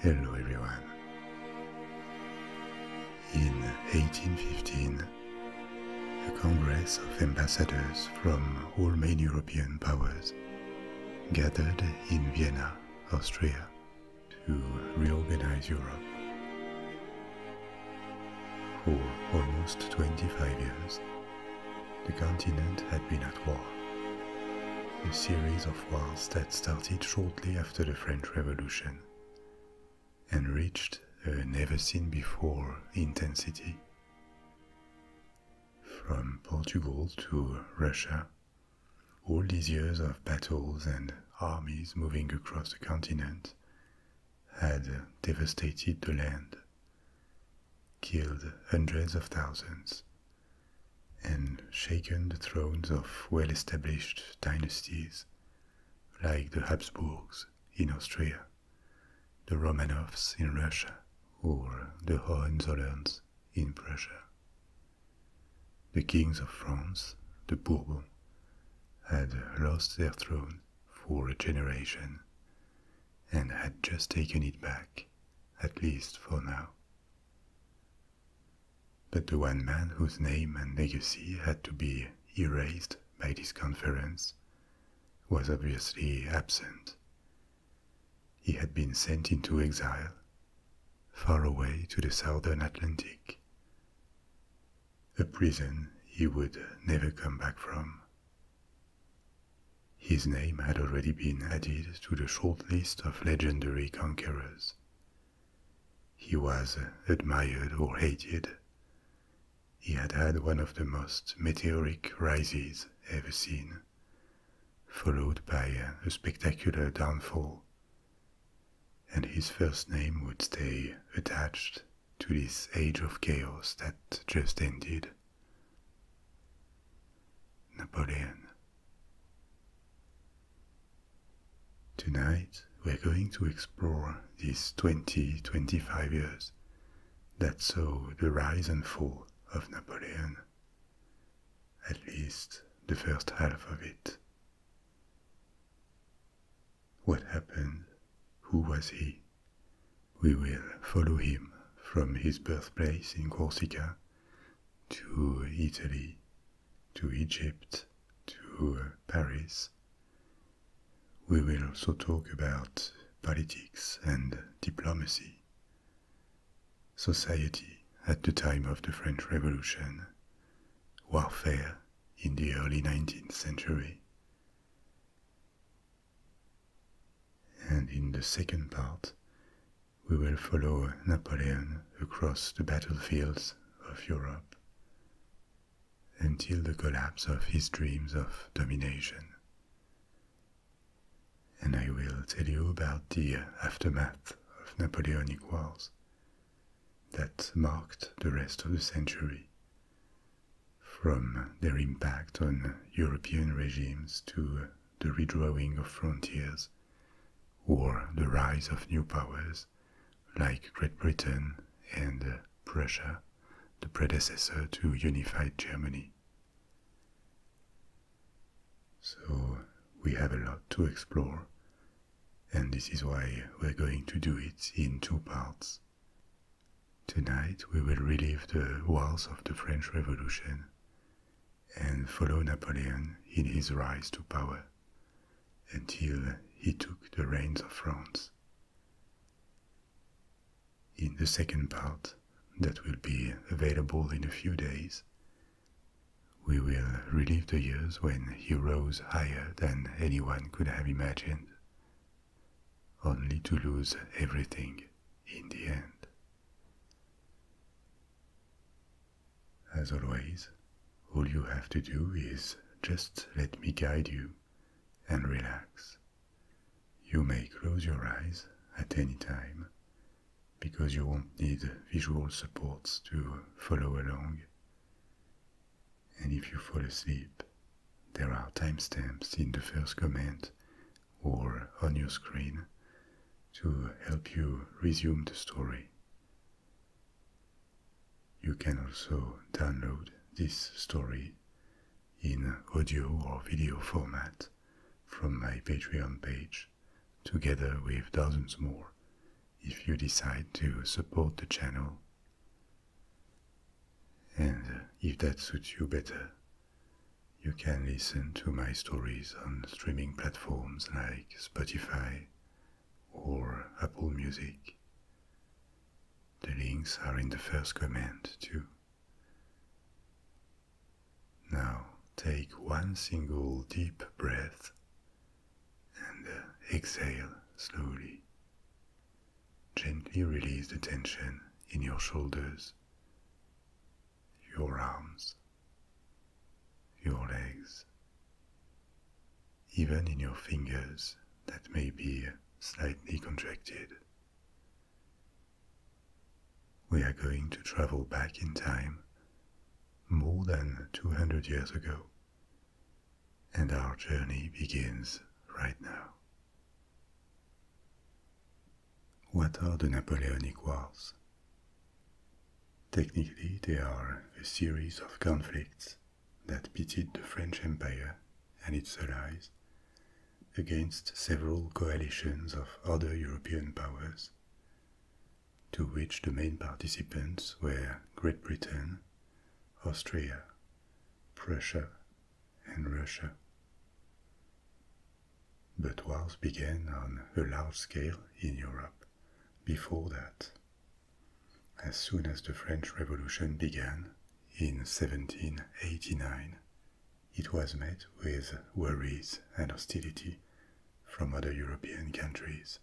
Hello everyone. In 1815, a congress of ambassadors from all main European powers gathered in Vienna, Austria, to reorganize Europe. For almost 25 years, the continent had been at war, a series of wars that started shortly after the French Revolution and reached a never seen before intensity. From Portugal to Russia, all these years of battles and armies moving across the continent had devastated the land, killed hundreds of thousands, and shaken the thrones of well established dynasties like the Habsburgs in Austria the Romanovs in Russia, or the Hohenzollerns in Prussia. The kings of France, the Bourbons, had lost their throne for a generation and had just taken it back, at least for now. But the one man whose name and legacy had to be erased by this conference was obviously absent. He had been sent into exile, far away to the southern Atlantic, a prison he would never come back from. His name had already been added to the short list of legendary conquerors. He was admired or hated, he had had one of the most meteoric rises ever seen, followed by a spectacular downfall. And his first name would stay attached to this age of chaos that just ended. Napoleon. Tonight, we're going to explore these 20 25 years that saw the rise and fall of Napoleon, at least the first half of it. What happened? Who was he? We will follow him from his birthplace in Corsica to Italy, to Egypt, to Paris, we will also talk about politics and diplomacy. Society at the time of the French Revolution, warfare in the early 19th century. And in the second part, we will follow Napoleon across the battlefields of Europe, until the collapse of his dreams of domination. And I will tell you about the aftermath of Napoleonic Wars that marked the rest of the century, from their impact on European regimes to the redrawing of frontiers or the rise of new powers like Great Britain and Prussia the predecessor to unified Germany. So we have a lot to explore, and this is why we're going to do it in two parts. Tonight we will relive the wars of the French Revolution and follow Napoleon in his rise to power until he took the reins of France. In the second part, that will be available in a few days, we will relive the years when he rose higher than anyone could have imagined, only to lose everything in the end. As always, all you have to do is just let me guide you and relax. You may close your eyes at any time because you won't need visual supports to follow along. And if you fall asleep, there are timestamps in the first comment or on your screen to help you resume the story. You can also download this story in audio or video format from my Patreon page, together with dozens more, if you decide to support the channel. And uh, if that suits you better, you can listen to my stories on streaming platforms like Spotify or Apple Music. The links are in the first comment, too. Now take one single deep breath and uh, exhale slowly. Gently release the tension in your shoulders, your arms, your legs, even in your fingers that may be slightly contracted. We are going to travel back in time, more than 200 years ago, and our journey begins right now. What are the Napoleonic Wars? Technically, they are a series of conflicts that pitted the French Empire and its allies against several coalitions of other European powers, to which the main participants were Great Britain, Austria, Prussia, and Russia. But wars began on a large scale in Europe before that. As soon as the French Revolution began in 1789, it was met with worries and hostility from other European countries,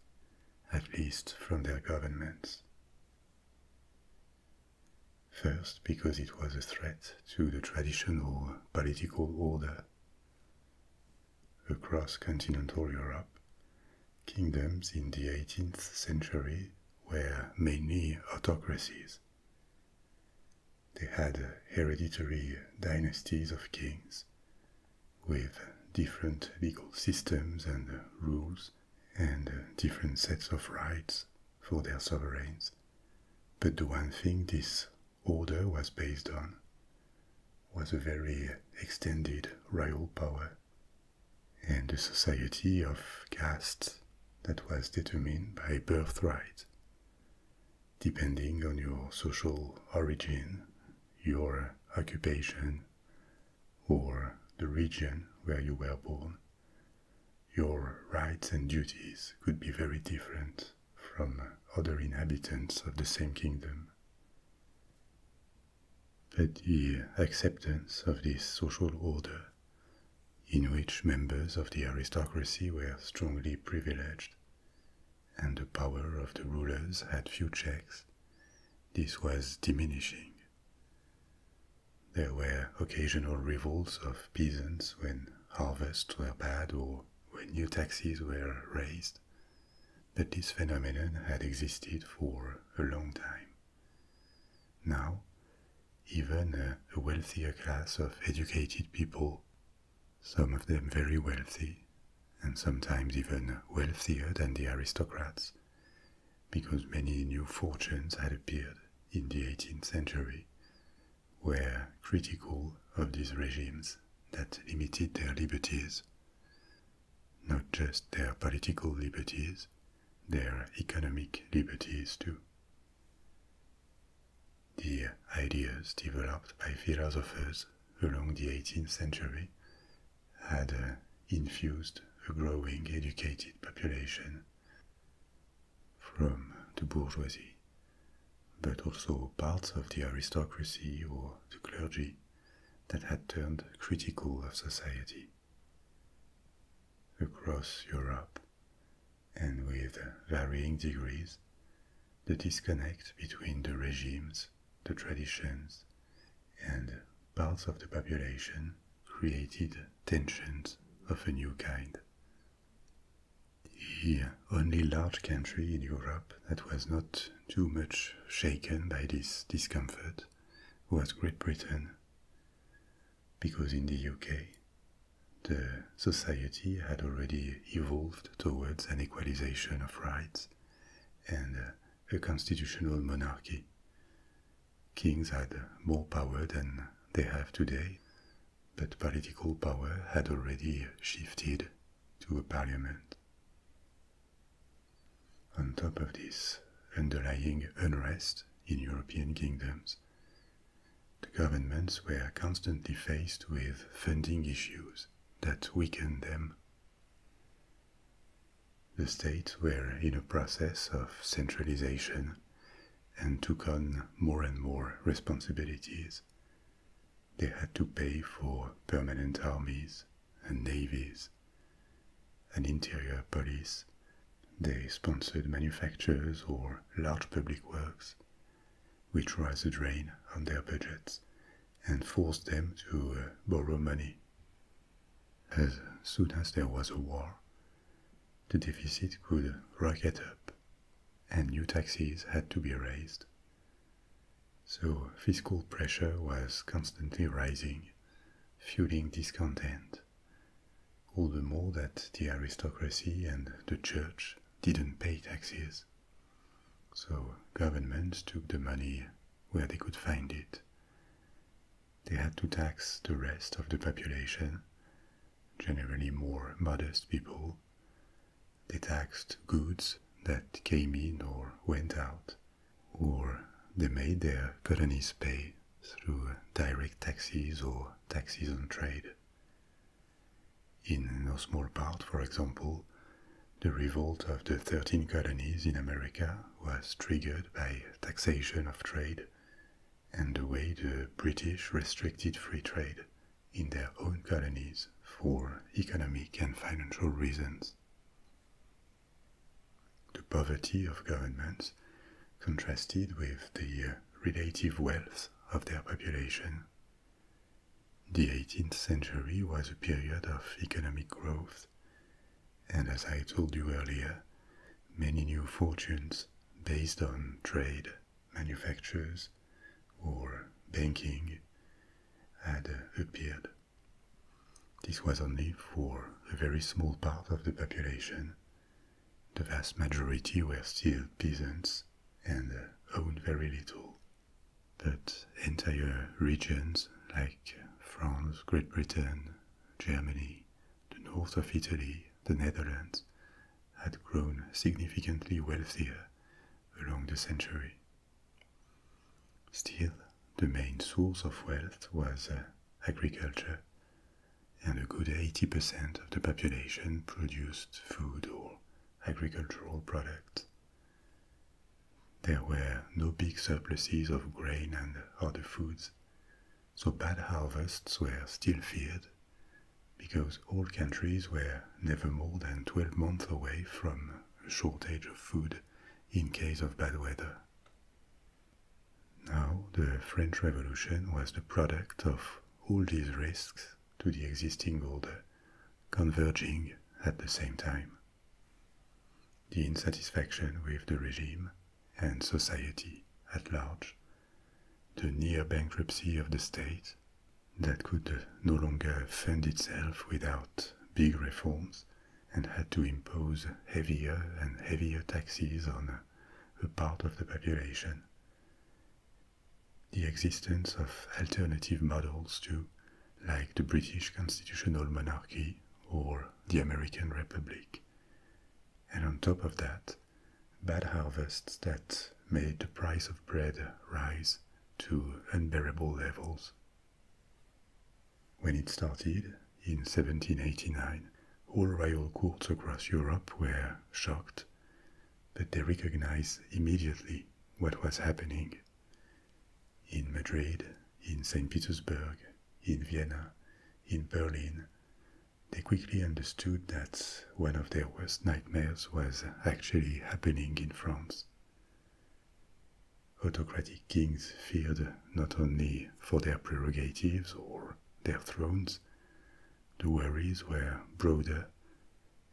at least from their governments. First, because it was a threat to the traditional political order. Across continental Europe, kingdoms in the 18th century were mainly autocracies they had hereditary dynasties of kings with different legal systems and rules and different sets of rights for their sovereigns. But the one thing this order was based on was a very extended royal power and a society of castes that was determined by birthright. Depending on your social origin, your occupation, or the region where you were born, your rights and duties could be very different from other inhabitants of the same kingdom. But the acceptance of this social order in which members of the aristocracy were strongly privileged, and the power of the rulers had few checks, this was diminishing. There were occasional revolts of peasants when harvests were bad or when new taxes were raised, but this phenomenon had existed for a long time. Now, even a uh, wealthier class of educated people, some of them very wealthy, and sometimes even wealthier than the aristocrats, because many new fortunes had appeared in the 18th century, were critical of these regimes that limited their liberties, not just their political liberties, their economic liberties too. The ideas developed by philosophers along the 18th century had uh, infused a growing educated population from the bourgeoisie, but also parts of the aristocracy or the clergy that had turned critical of society. Across Europe, and with varying degrees, the disconnect between the regimes, the traditions, and parts of the population created tensions of a new kind. The only large country in Europe that was not too much shaken by this discomfort was Great Britain because in the UK, the society had already evolved towards an equalization of rights and uh, a constitutional monarchy. Kings had more power than they have today, but political power had already shifted to a parliament. On top of this underlying unrest in European kingdoms, the governments were constantly faced with funding issues that weakened them. The states were in a process of centralization and took on more and more responsibilities. They had to pay for permanent armies and navies, and interior police, they sponsored manufactures or large public works, which was a drain on their budgets and forced them to uh, borrow money. As soon as there was a war, the deficit could rocket up and new taxes had to be raised. So fiscal pressure was constantly rising, fueling discontent all the more that the aristocracy and the church didn't pay taxes. So governments took the money where they could find it. They had to tax the rest of the population, generally more modest people. They taxed goods that came in or went out, or they made their colonies pay through direct taxes or taxes on trade. In no small part, for example, the revolt of the 13 colonies in America was triggered by taxation of trade and the way the British restricted free trade in their own colonies for economic and financial reasons. The poverty of governments contrasted with the relative wealth of their population. The 18th century was a period of economic growth, and as I told you earlier, many new fortunes based on trade, manufactures, or banking had appeared. This was only for a very small part of the population, the vast majority were still peasants and uh, owned very little. But entire regions like uh, France, Great Britain, Germany, the north of Italy, the Netherlands, had grown significantly wealthier along the century. Still, the main source of wealth was uh, agriculture, and a good 80% of the population produced food or agricultural products. There were no big surpluses of grain and other foods, so bad harvests were still feared because all countries were never more than 12 months away from a shortage of food in case of bad weather. Now, the French Revolution was the product of all these risks to the existing order converging at the same time. The insatisfaction with the regime and society at large, the near bankruptcy of the state that could no longer fund itself without big reforms and had to impose heavier and heavier taxes on a part of the population. The existence of alternative models, too, like the British constitutional monarchy or the American Republic. And on top of that, bad harvests that made the price of bread rise to unbearable levels. When it started in 1789, all royal courts across Europe were shocked out, but they recognized immediately what was happening. In Madrid, in St. Petersburg, in Vienna, in Berlin, they quickly understood that one of their worst nightmares was actually happening in France. Autocratic kings feared not only for their prerogatives or their thrones, the worries were broader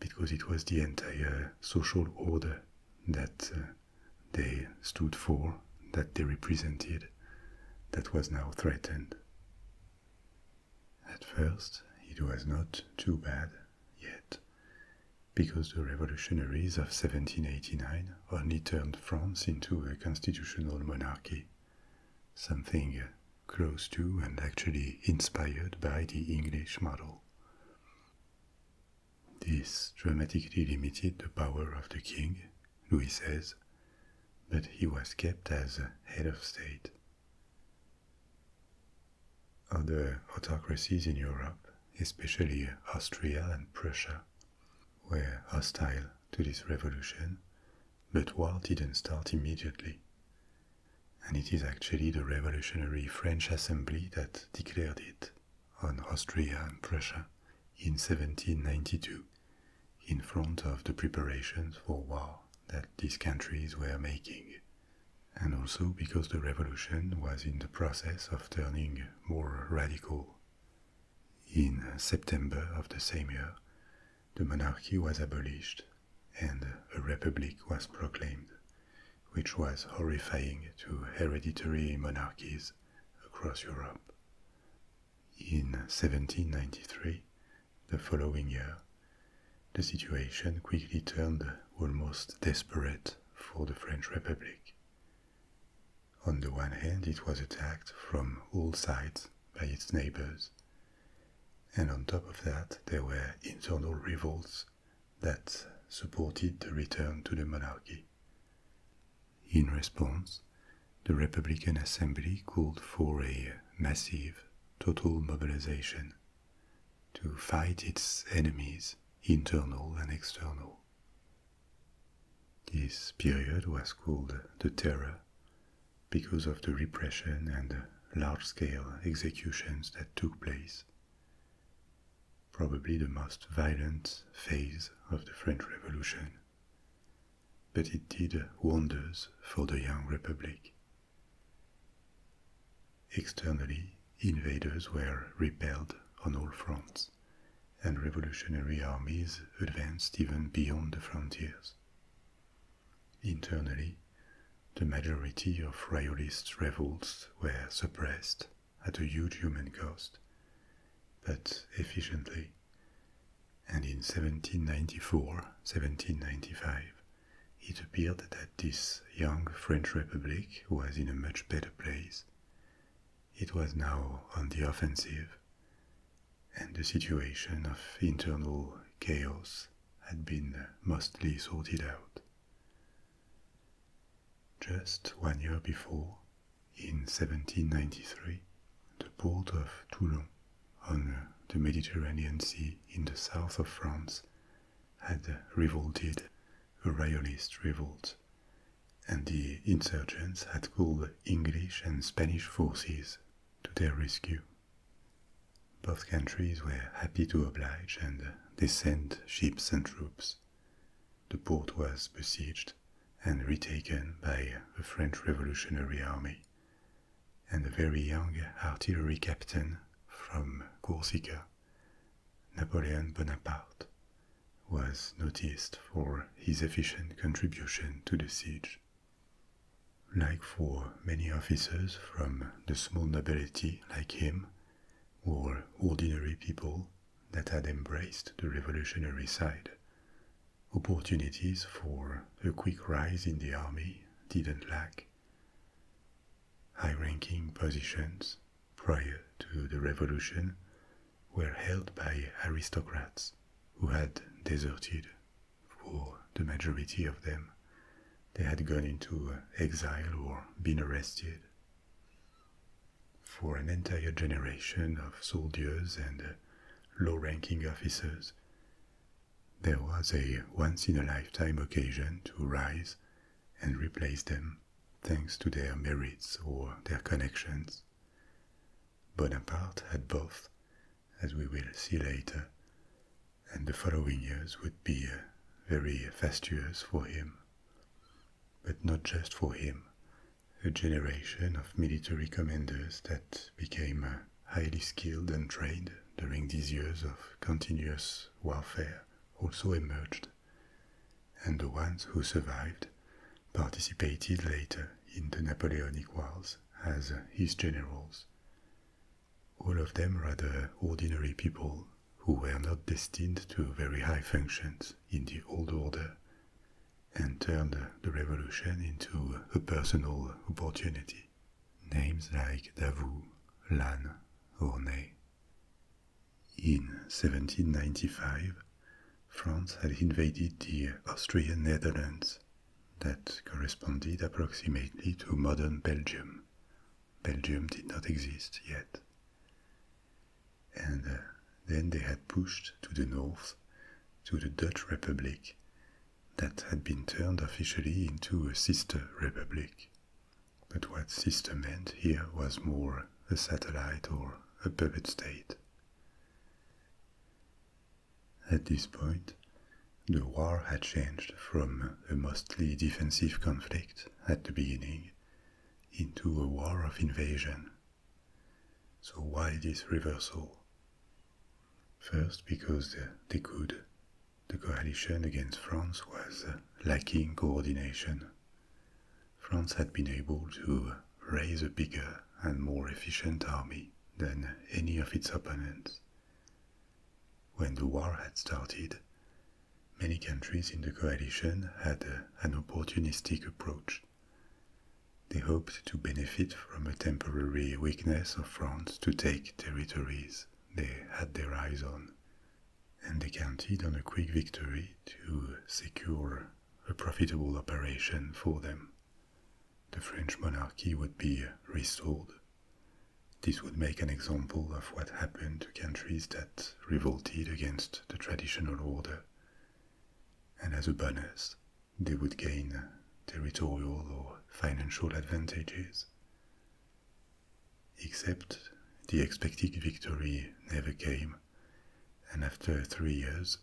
because it was the entire social order that uh, they stood for, that they represented, that was now threatened. At first, it was not too bad yet, because the revolutionaries of 1789 only turned France into a constitutional monarchy something close to and actually inspired by the English model. This dramatically limited the power of the king, Louis says, but he was kept as head of state. Other autocracies in Europe, especially Austria and Prussia, were hostile to this revolution but war didn't start immediately. And it is actually the Revolutionary French Assembly that declared it on Austria and Prussia in 1792, in front of the preparations for war that these countries were making, and also because the revolution was in the process of turning more radical. In September of the same year, the monarchy was abolished and a republic was proclaimed, which was horrifying to hereditary monarchies across Europe. In 1793, the following year, the situation quickly turned almost desperate for the French Republic. On the one hand, it was attacked from all sides by its neighbors, and on top of that, there were internal revolts that supported the return to the monarchy. In response, the Republican Assembly called for a massive total mobilization to fight its enemies, internal and external. This period was called the Terror because of the repression and large scale executions that took place. Probably the most violent phase of the French Revolution. But it did wonders for the young republic. Externally, invaders were repelled on all fronts, and revolutionary armies advanced even beyond the frontiers, Internally, the majority of royalist revolts were suppressed at a huge human cost, but efficiently, and in 1794-1795 it appeared that this young French Republic was in a much better place. It was now on the offensive, and the situation of internal chaos had been mostly sorted out. Just one year before, in 1793, the port of Toulon on the Mediterranean Sea in the south of France had revolted, a royalist revolt, and the insurgents had called English and Spanish forces to their rescue. Both countries were happy to oblige and they sent ships and troops. The port was besieged and retaken by the French revolutionary army, and a very young artillery captain from Corsica, Napoleon Bonaparte, was noticed for his efficient contribution to the siege. Like for many officers from the small nobility like him, or ordinary people that had embraced the revolutionary side, opportunities for a quick rise in the army didn't lack. High ranking positions prior to the revolution were held by aristocrats who had deserted for the majority of them, they had gone into uh, exile or been arrested. For an entire generation of soldiers and uh, low ranking officers, there was a once in a lifetime occasion to rise and replace them thanks to their merits or their connections. Bonaparte had both, as we will see later, and the following years would be uh, very fast years for him. But not just for him. A generation of military commanders that became uh, highly skilled and trained during these years of continuous warfare also emerged, and the ones who survived participated later in the Napoleonic Wars as his generals all of them rather ordinary people who were not destined to very high functions in the old order and turned the revolution into a personal opportunity. Names like Davout, Lannes, or Ney. In 1795, France had invaded the Austrian Netherlands that corresponded approximately to modern Belgium. Belgium did not exist yet. And uh, then they had pushed to the north to the Dutch Republic that had been turned officially into a sister republic. But what sister meant here was more a satellite or a puppet state. At this point, the war had changed from a mostly defensive conflict at the beginning into a war of invasion. So, why this reversal? First, because they could. The coalition against France was lacking coordination. France had been able to raise a bigger and more efficient army than any of its opponents, when the war had started, many countries in the coalition had an opportunistic approach. They hoped to benefit from a temporary weakness of France to take territories they had their eyes on, and they counted on a quick victory to secure a profitable operation for them the French monarchy would be restored. This would make an example of what happened to countries that revolted against the traditional order. And as a bonus, they would gain territorial or financial advantages. Except the expected victory never came, and after three years,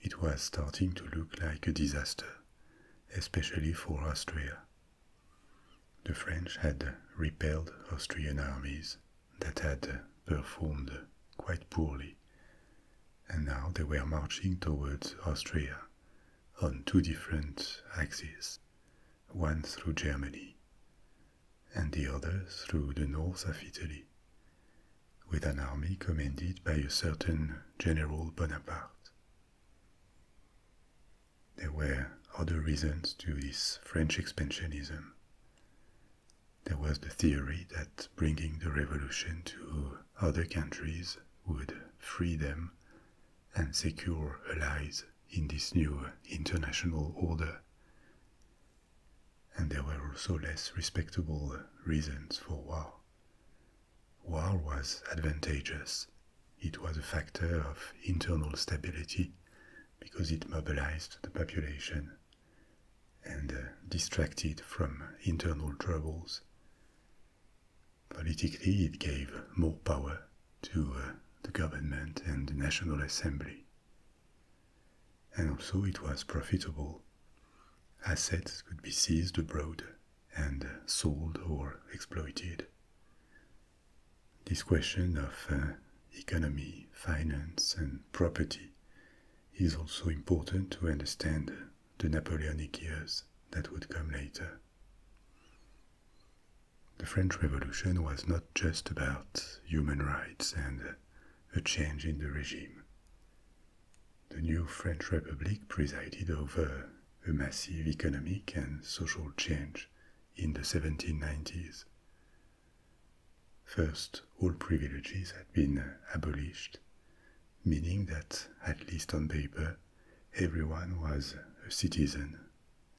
it was starting to look like a disaster, especially for Austria. The French had repelled Austrian armies that had performed quite poorly, and now they were marching towards Austria on two different axes, one through Germany and the other through the north of Italy, with an army commanded by a certain General Bonaparte. There were other reasons to this French expansionism. There was the theory that bringing the revolution to other countries would free them and secure allies in this new international order. And there were also less respectable reasons for war. War was advantageous. It was a factor of internal stability because it mobilized the population and uh, distracted from internal troubles. Politically, it gave more power to uh, the government and the National Assembly. And also, it was profitable. Assets could be seized abroad and sold or exploited. This question of uh, economy, finance, and property is also important to understand the Napoleonic years that would come later. The French Revolution was not just about human rights and a change in the regime. The new French Republic presided over a massive economic and social change in the 1790s. First, all privileges had been uh, abolished, meaning that, at least on paper, everyone was a citizen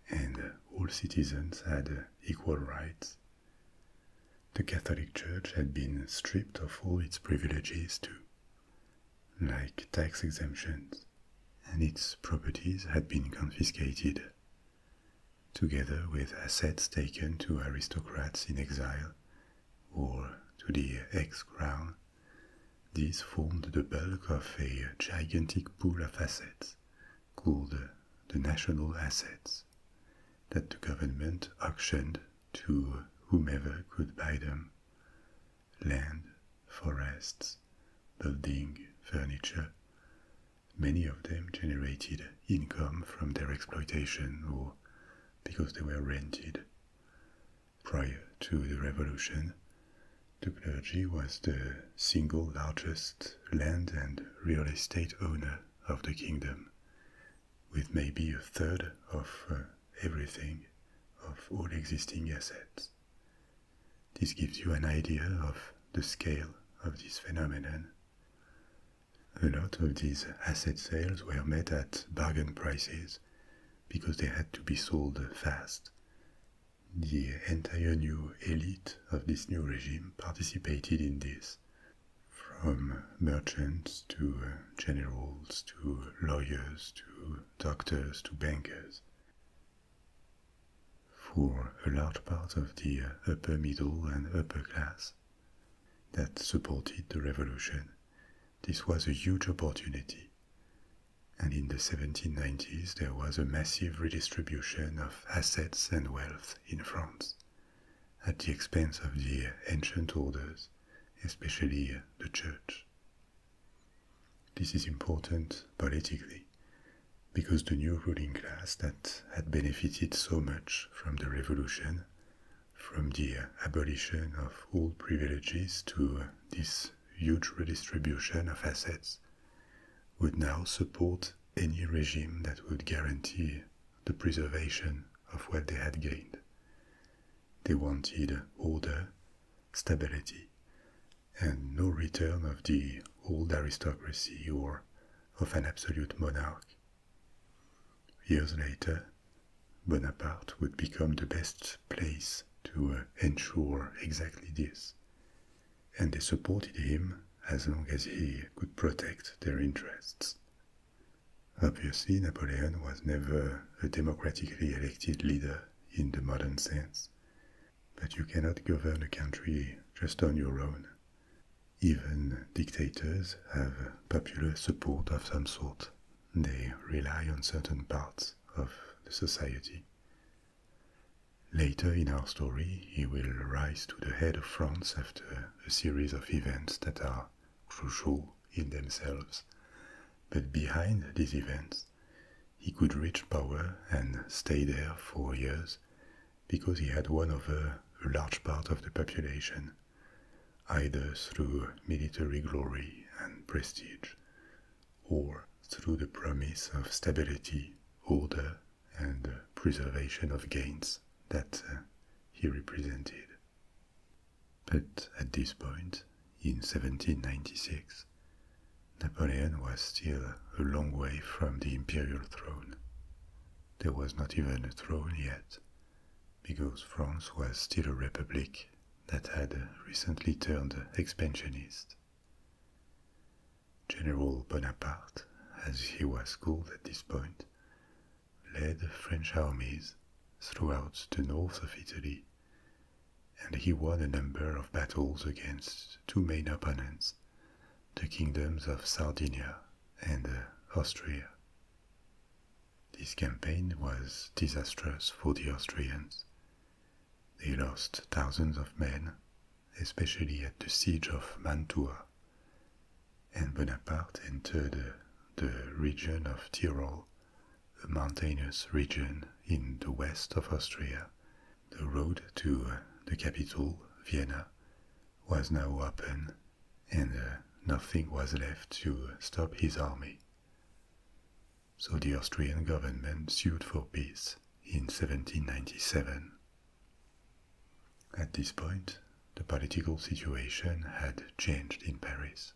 and uh, all citizens had uh, equal rights. The Catholic Church had been stripped of all its privileges too like tax exemptions, and its properties had been confiscated. Together with assets taken to aristocrats in exile or to the ex crown, these formed the bulk of a gigantic pool of assets called the national assets that the government auctioned to whomever could buy them, land, forests, building, furniture. Many of them generated income from their exploitation or because they were rented. Prior to the revolution, the clergy was the single largest land and real estate owner of the kingdom, with maybe a third of uh, everything of all existing assets. This gives you an idea of the scale of this phenomenon. A lot of these asset sales were made at bargain prices because they had to be sold fast. The entire new elite of this new regime participated in this, from merchants to generals to lawyers to doctors to bankers for a large part of the upper middle and upper class that supported the revolution, this was a huge opportunity. And in the 1790s, there was a massive redistribution of assets and wealth in France at the expense of the ancient orders, especially the church this is important politically because the new ruling class that had benefited so much from the revolution, from the abolition of all privileges to this huge redistribution of assets, would now support any regime that would guarantee the preservation of what they had gained. They wanted order, stability, and no return of the old aristocracy or of an absolute monarch. Years later, Bonaparte would become the best place to uh, ensure exactly this, and they supported him as long as he could protect their interests. Obviously, Napoleon was never a democratically elected leader in the modern sense, but you cannot govern a country just on your own. Even dictators have popular support of some sort. They rely on certain parts of the society. Later in our story, he will rise to the head of France after a series of events that are crucial in themselves. But behind these events, he could reach power and stay there for years because he had won over a large part of the population, either through military glory and prestige, or through the promise of stability, order, and preservation of gains that uh, he represented. But at this point, in 1796, Napoleon was still a long way from the imperial throne. There was not even a throne yet, because France was still a republic that had recently turned expansionist. General Bonaparte, as he was called at this point, led French armies throughout the north of Italy and he won a number of battles against two main opponents, the kingdoms of Sardinia and Austria. This campaign was disastrous for the Austrians. They lost thousands of men, especially at the siege of Mantua, and Bonaparte entered the region of Tyrol a mountainous region in the west of Austria, the road to uh, the capital, Vienna, was now open, and uh, nothing was left to stop his army. So the Austrian government sued for peace in 1797. At this point, the political situation had changed in Paris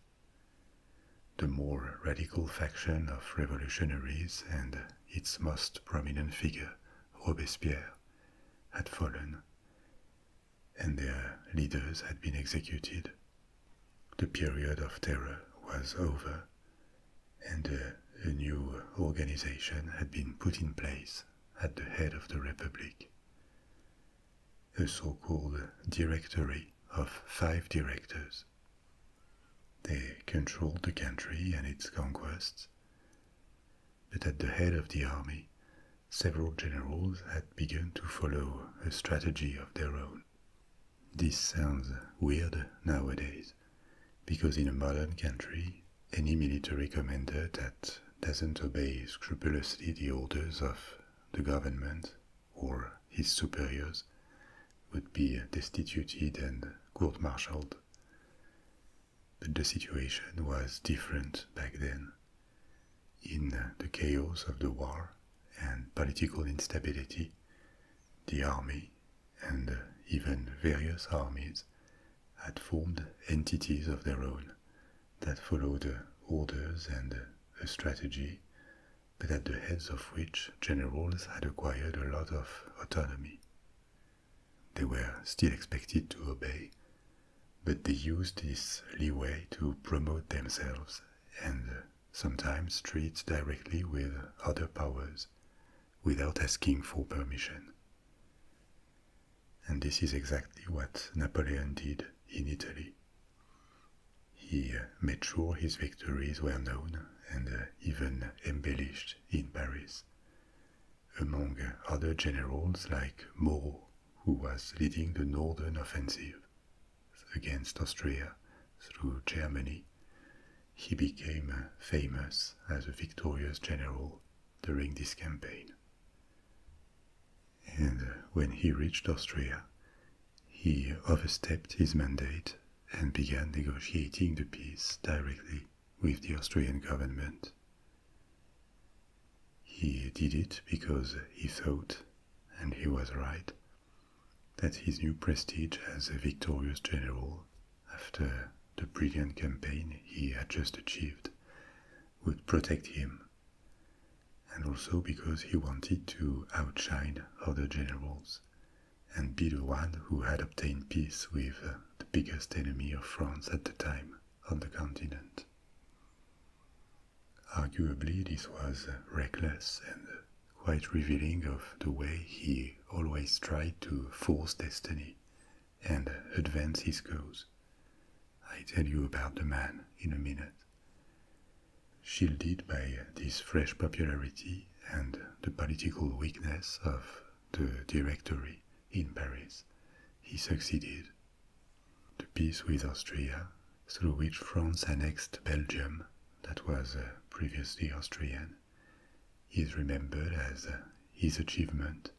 the more radical faction of revolutionaries and its most prominent figure, Robespierre, had fallen, and their leaders had been executed. The period of terror was over, and a, new organization had been put in place at the head of the Republic. A so called Directory of five directors. They controlled the country and its conquests, but at the head of the army, several generals had begun to follow a strategy of their own. This sounds weird nowadays, because in a modern country, any military commander that doesn't obey scrupulously the orders of the government or his superiors would be destituted and court-martialed. But the situation was different back then. In the chaos of the war and political instability, the army and even various armies had formed entities of their own that followed orders and a strategy but at the heads of which generals had acquired a lot of autonomy. They were still expected to obey, but they used this leeway to promote themselves and uh, sometimes treat directly with other powers without asking for permission. And this is exactly what Napoleon did in Italy. He uh, made sure his victories were known and uh, even embellished in Paris. Among other generals like Moreau, who was leading the northern offensive against Austria through Germany, he became uh, famous as a victorious general during this campaign. And uh, when he reached Austria, he overstepped his mandate and began negotiating the peace directly with the Austrian government. He did it because he thought, and he was right, that his new prestige as a victorious general after the brilliant campaign he had just achieved would protect him, and also because he wanted to outshine other generals and be the one who had obtained peace with uh, the biggest enemy of France at the time on the continent. Arguably, this was uh, reckless and uh, quite revealing of the way he always tried to force destiny and advance his cause. I tell you about the man in a minute. Shielded by this fresh popularity, and the political weakness of the Directory in Paris, he succeeded. The peace with Austria, through which France annexed Belgium, that was uh, previously Austrian, is remembered as uh, his achievement,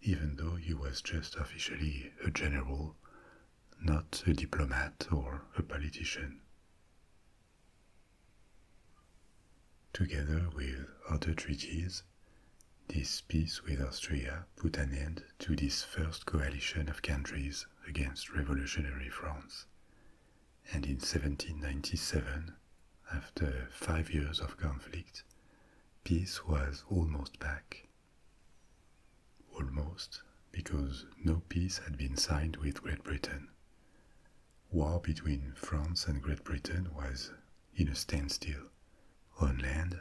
even though he was just officially a general, not a diplomat or a politician. Together with other treaties, this peace with Austria put an end to this first coalition of countries against revolutionary France. And in 1797, after five years of conflict, peace was almost back. Almost, because no peace had been signed with Great Britain war between France and Great Britain was in a standstill. On land,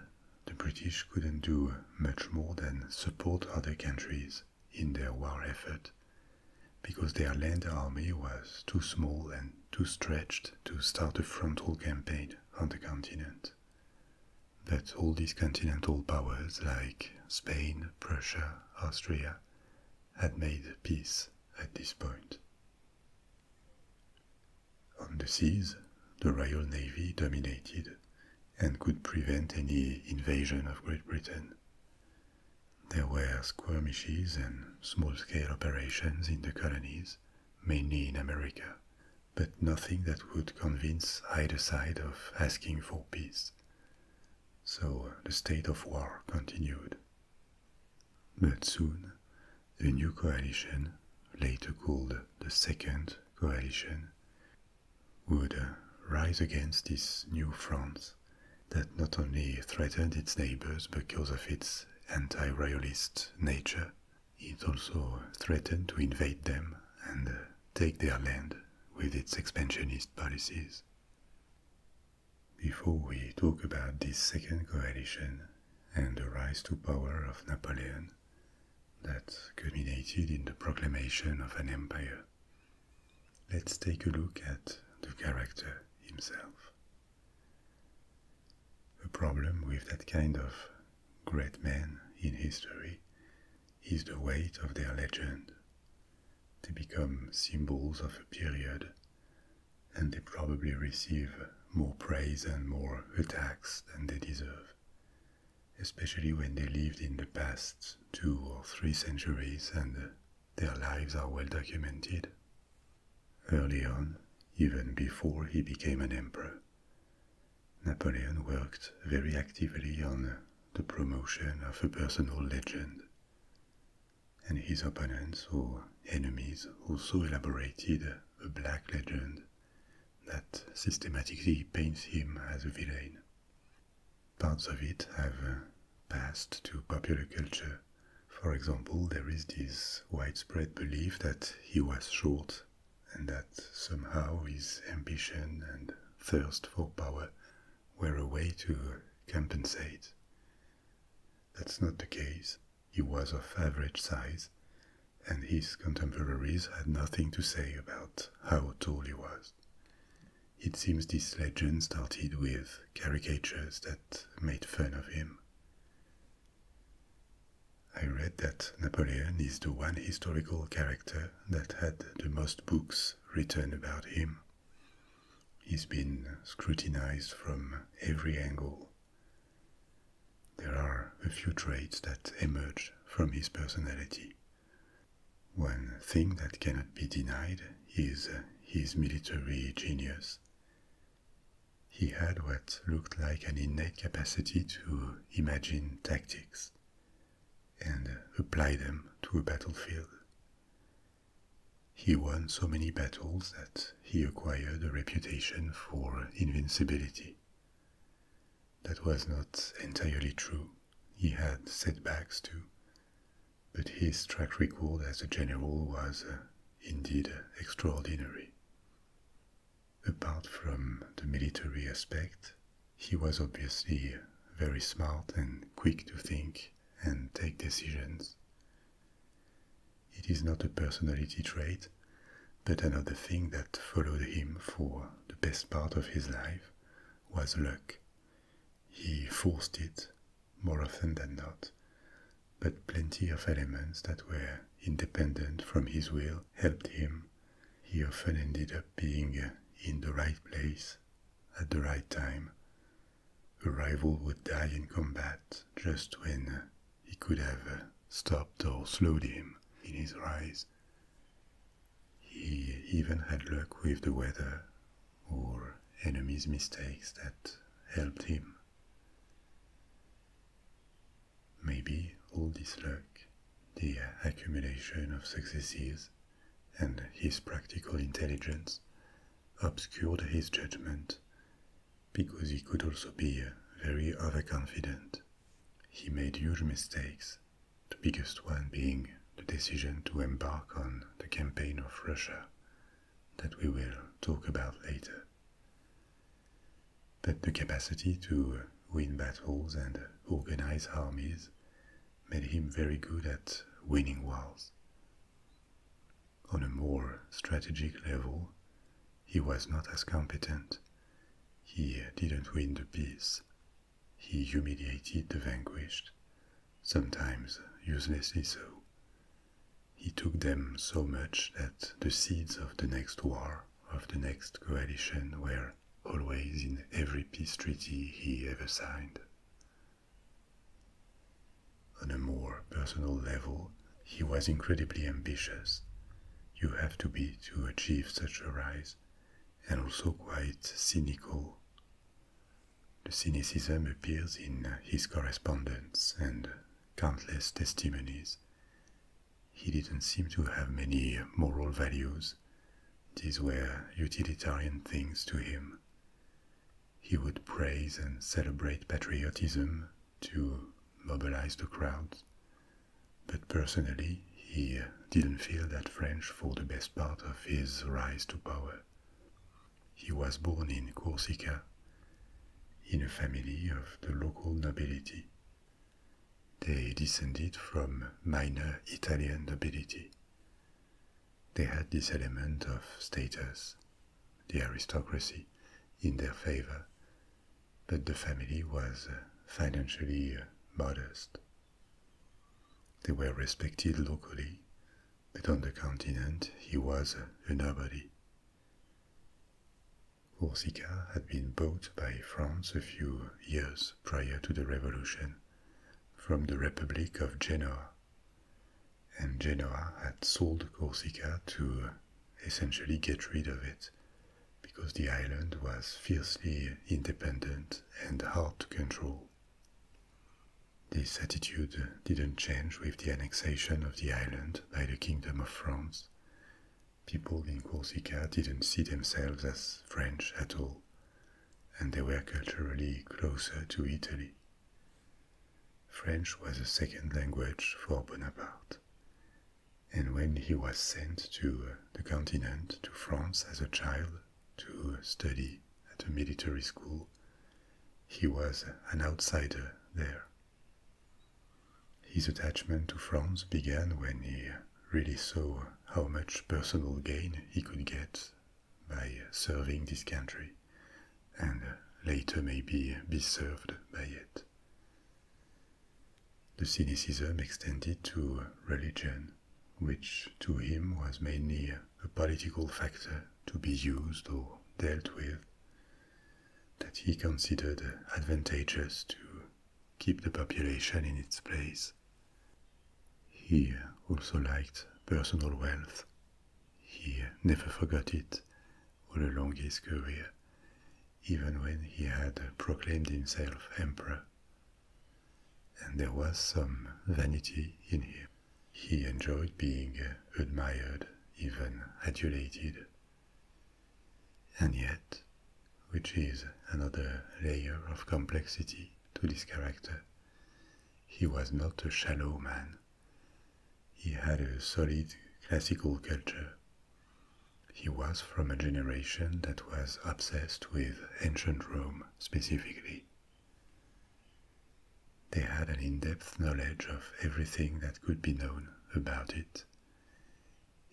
the British couldn't do much more than support other countries in their war effort because their land army was too small and too stretched to start a frontal campaign on the continent. But all these continental powers like Spain, Prussia, Austria, had made peace at this point. On the seas, the Royal Navy dominated and could prevent any invasion of Great Britain. There were skirmishes and small scale operations in the colonies, mainly in America, but nothing that would convince either side of asking for peace so uh, the state of war continued. But soon, a new coalition, later called the Second Coalition, would uh, rise against this new France that not only threatened its neighbors because of its anti-royalist nature, it also threatened to invade them and uh, take their land with its expansionist policies. Before we talk about this second coalition and the rise to power of Napoleon that culminated in the proclamation of an empire, let's take a look at the character himself. A problem with that kind of great man in history is the weight of their legend, they become symbols of a period, and they probably receive more praise and more attacks than they deserve, especially when they lived in the past two or three centuries and their lives are well documented. Early on, even before he became an emperor, Napoleon worked very actively on the promotion of a personal legend and his opponents or enemies also elaborated a black legend that systematically paints him as a villain. Parts of it have uh, passed to popular culture. For example, there is this widespread belief that he was short and that somehow his ambition and thirst for power were a way to compensate that's not the case. He was of average size, and his contemporaries had nothing to say about how tall he was. It seems this legend started with caricatures that made fun of him. I read that Napoleon is the one historical character that had the most books written about him. He's been scrutinized from every angle. There are a few traits that emerge from his personality. One thing that cannot be denied is his military genius. He had what looked like an innate capacity to imagine tactics and apply them to a battlefield. He won so many battles that he acquired a reputation for invincibility. That was not entirely true. He had setbacks too. But his track record as a general was uh, indeed extraordinary. Apart from the military aspect, he was obviously very smart and quick to think and take decisions. It is not a personality trait, but another thing that followed him for the best part of his life was luck. He forced it, more often than not, but plenty of elements that were independent from his will helped him. He often ended up being in the right place at the right time, a rival would die in combat just when he could have stopped or slowed him in his rise. He even had luck with the weather or enemies' mistakes that helped him. Maybe all this luck, the accumulation of successes, and his practical intelligence obscured his judgment, because he could also be very overconfident. He made huge mistakes, the biggest one being the decision to embark on the campaign of Russia that we will talk about later. But the capacity to win battles and organize armies made him very good at winning wars, on a more strategic level, he was not as competent. He didn't win the peace. He humiliated the vanquished, sometimes uselessly so. He took them so much that the seeds of the next war, of the next coalition, were always in every peace treaty he ever signed. On a more personal level, he was incredibly ambitious. You have to be to achieve such a rise, and also quite cynical. The cynicism appears in his correspondence and countless testimonies. He didn't seem to have many moral values. These were utilitarian things to him. He would praise and celebrate patriotism to mobilize the crowds. But personally, he didn't feel that French for the best part of his rise to power. He was born in Corsica, in a family of the local nobility. They descended from minor Italian nobility. They had this element of status, the aristocracy, in their favor, but the family was uh, financially uh, modest. They were respected locally, but on the continent he was uh, a nobody. Corsica had been bought by France a few years prior to the revolution from the Republic of Genoa and Genoa had sold Corsica to essentially get rid of it because the island was fiercely independent and hard to control. This attitude didn't change with the annexation of the island by the Kingdom of France. People in Corsica didn't see themselves as French at all, and they were culturally closer to Italy. French was a second language for Bonaparte. And when he was sent to the continent, to France as a child, to study at a military school, he was an outsider there. His attachment to France began when he really saw how much personal gain he could get by serving this country and later maybe be served by it. The cynicism extended to religion, which to him was mainly a political factor to be used or dealt with, that he considered advantageous to keep the population in its place. He also liked personal wealth he never forgot it all along his career, even when he had proclaimed himself emperor. And there was some vanity in him. He enjoyed being admired, even adulated. And yet, which is another layer of complexity to this character, he was not a shallow man. He had a solid classical culture. He was from a generation that was obsessed with ancient Rome specifically. They had an in depth knowledge of everything that could be known about it.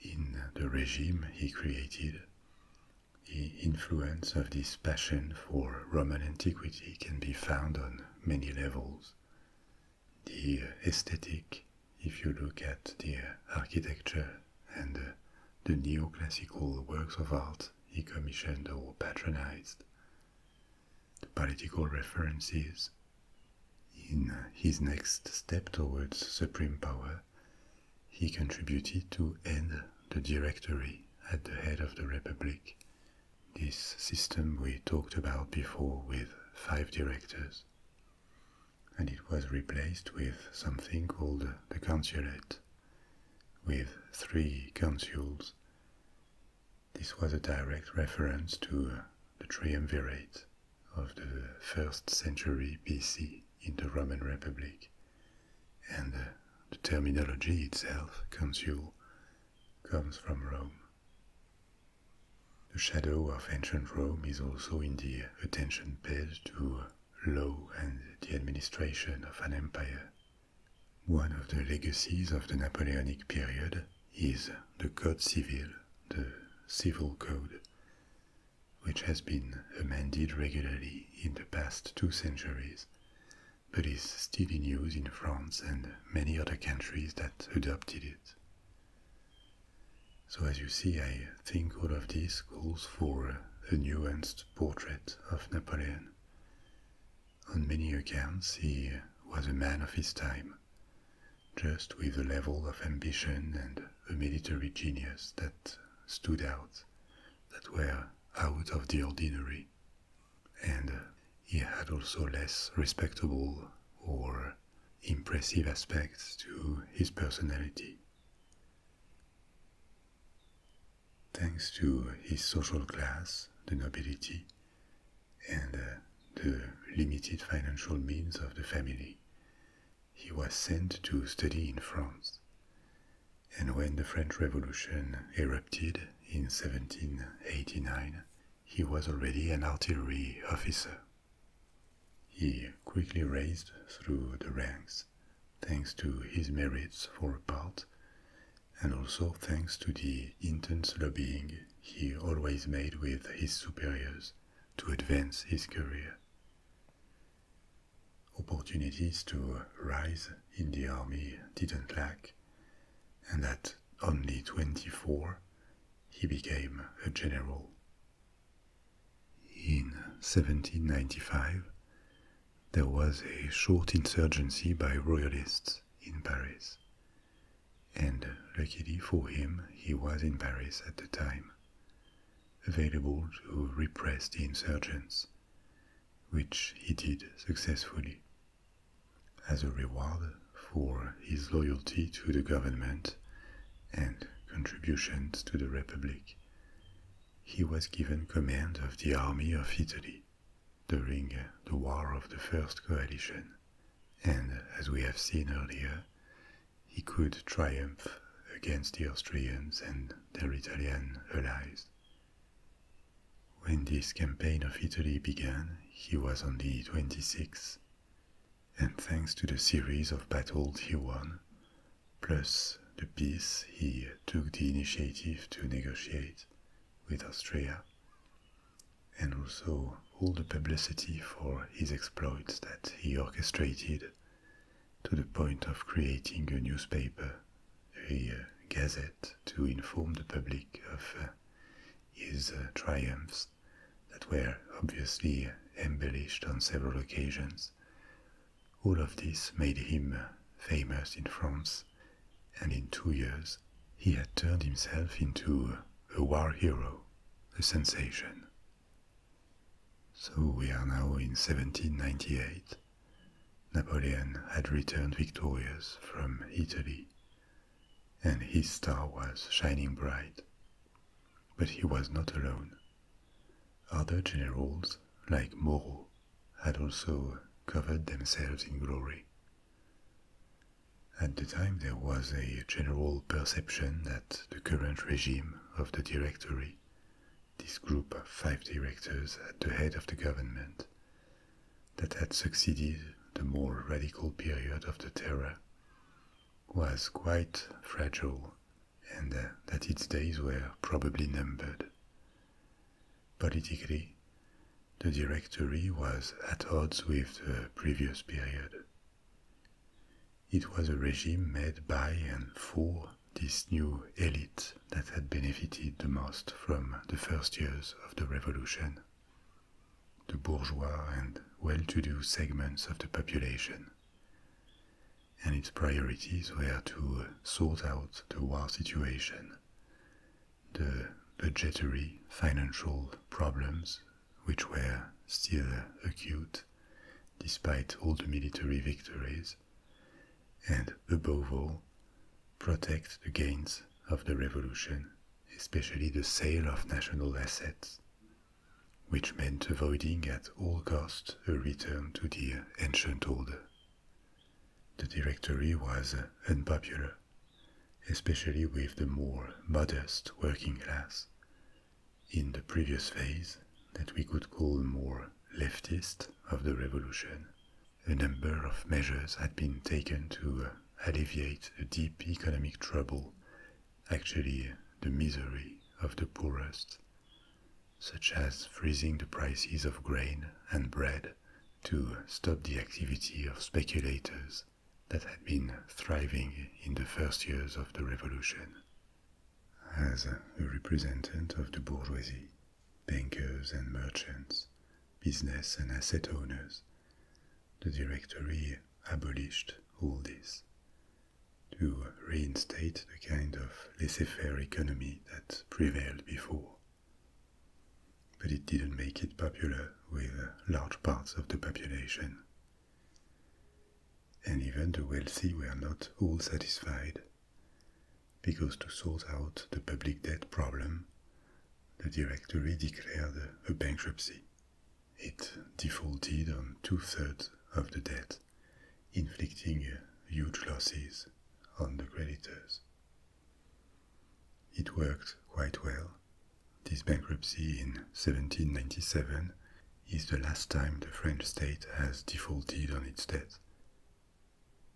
In the regime he created, the influence of this passion for Roman antiquity can be found on many levels. The aesthetic, if you look at the architecture and uh, the neoclassical works of art he commissioned or patronized, the political references. In his next step towards supreme power, he contributed to end the Directory at the head of the Republic this system we talked about before with five directors, and it was replaced with something called the consulate, with three consuls. This was a direct reference to the triumvirate of the first century BC in the Roman Republic, and the terminology itself, consul, comes from Rome. The shadow of ancient Rome is also in the attention paid to law and the administration of an empire. One of the legacies of the Napoleonic period is the Code Civil, the civil code, which has been amended regularly in the past two centuries but is still in use in France and many other countries that adopted it. So, as you see, I think all of this calls for a nuanced portrait of Napoleon. On many accounts, he was a man of his time, just with a level of ambition and a military genius that stood out, that were out of the ordinary and uh, he had also less respectable or impressive aspects to his personality. Thanks to his social class, the nobility, and uh, the limited financial means of the family, he was sent to study in France. And when the French Revolution erupted in 1789, he was already an artillery officer. He quickly raised through the ranks thanks to his merits for a part, and also thanks to the intense lobbying he always made with his superiors to advance his career. Opportunities to rise in the army didn't lack, and that only 24, he became a general. In 1795, there was a short insurgency by royalists in Paris, and luckily for him, he was in Paris at the time, available to repress the insurgents, which he did successfully as a reward for his loyalty to the government and contributions to the Republic. He was given command of the army of Italy during the War of the First Coalition, and as we have seen earlier, he could triumph against the Austrians and their Italian allies. When this campaign of Italy began, he was only 26, and thanks to the series of battles he won, plus the peace he took the initiative to negotiate with Austria, and also all the publicity for his exploits that he orchestrated to the point of creating a newspaper, a gazette, to inform the public of uh, his triumphs that were obviously embellished on several occasions. All of this made him famous in France, and in two years he had turned himself into a war hero, a sensation. So we are now in 1798. Napoleon had returned victorious from Italy, and his star was shining bright. But he was not alone. Other generals, like Moreau, had also covered themselves in glory. At the time, there was a general perception that the current regime of the Directory, this group of five directors at the head of the government, that had succeeded the more radical period of the Terror, was quite fragile and uh, that its days were probably numbered. Politically, the Directory was at odds with the previous period. It was a regime made by and for this new elite that had benefited the most from the first years of the revolution the bourgeois and well-to-do segments of the population. And its priorities were to uh, sort out the war situation, the budgetary financial problems which were still acute despite all the military victories, and above all, protect the gains of the revolution, especially the sale of national assets, which meant avoiding at all costs a return to the ancient order. The Directory was unpopular, especially with the more modest working class. In the previous phase, that we could call more leftist of the revolution, a number of measures had been taken to uh, alleviate the deep economic trouble, actually uh, the misery of the poorest, such as freezing the prices of grain and bread to uh, stop the activity of speculators that had been thriving in the first years of the revolution. As a representative of the bourgeoisie, bankers and merchants business and asset owners, the Directory abolished all this to reinstate the kind of laissez faire economy that prevailed before. But it didn't make it popular with large parts of the population. And even the wealthy were not all satisfied, because to sort out the public debt problem, the directory declared a bankruptcy. It defaulted on two thirds of the debt, inflicting huge losses on the creditors. It worked quite well. This bankruptcy in 1797 is the last time the French state has defaulted on its debt.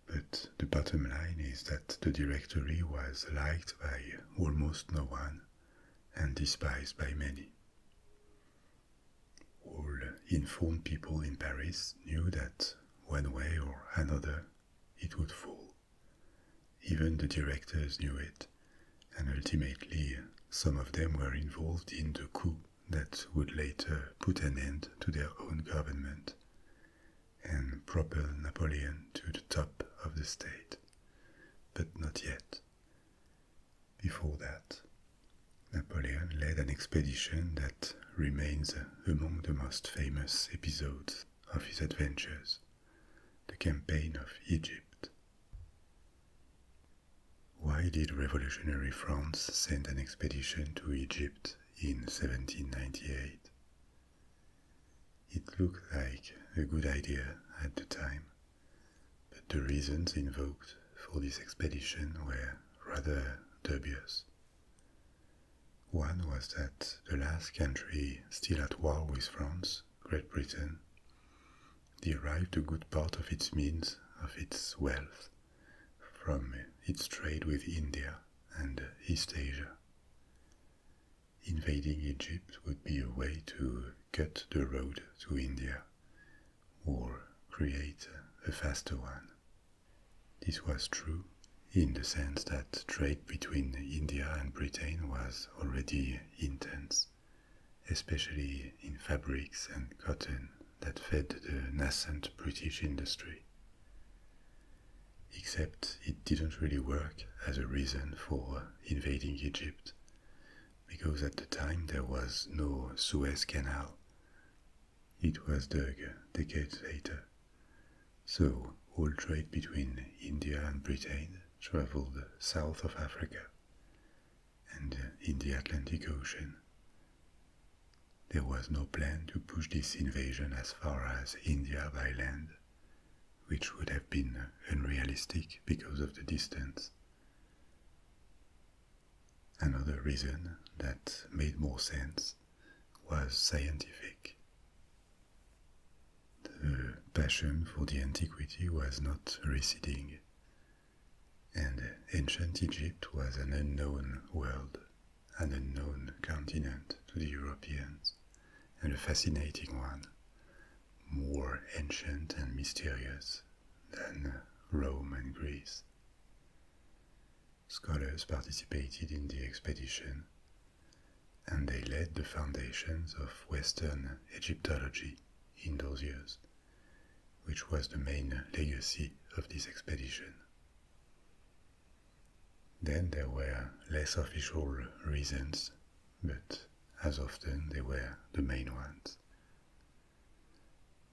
But the bottom line is that the Directory was liked by almost no one and despised by many. All informed people in Paris knew that one way or another it would fall. Even the directors knew it, and ultimately some of them were involved in the coup that would later put an end to their own government and propel Napoleon to the top of the state, but not yet. Before that, Napoleon led an expedition that remains among the most famous episodes of his adventures the campaign of Egypt. Why did revolutionary France send an expedition to Egypt in 1798? It looked like a good idea at the time, but the reasons invoked for this expedition were rather dubious. One was that the last country still at war with France, Great Britain, derived a good part of its means of its wealth from its trade with India and East Asia invading Egypt would be a way to cut the road to India or create a faster one. This was true in the sense that trade between India and Britain was already intense, especially in fabrics and cotton that fed the nascent British industry except it didn't really work as a reason for invading Egypt, because at the time there was no Suez Canal. It was dug decades later. So all trade between India and Britain traveled south of Africa and in the Atlantic Ocean. There was no plan to push this invasion as far as India by land which would have been unrealistic because of the distance. Another reason that made more sense was scientific. The passion for the antiquity was not receding, and ancient Egypt was an unknown world, an unknown continent to the Europeans and a fascinating one, more ancient and mysterious than Rome and Greece. Scholars participated in the expedition, and they laid the foundations of Western Egyptology in those years, which was the main legacy of this expedition. Then there were less official reasons, but as often they were the main ones.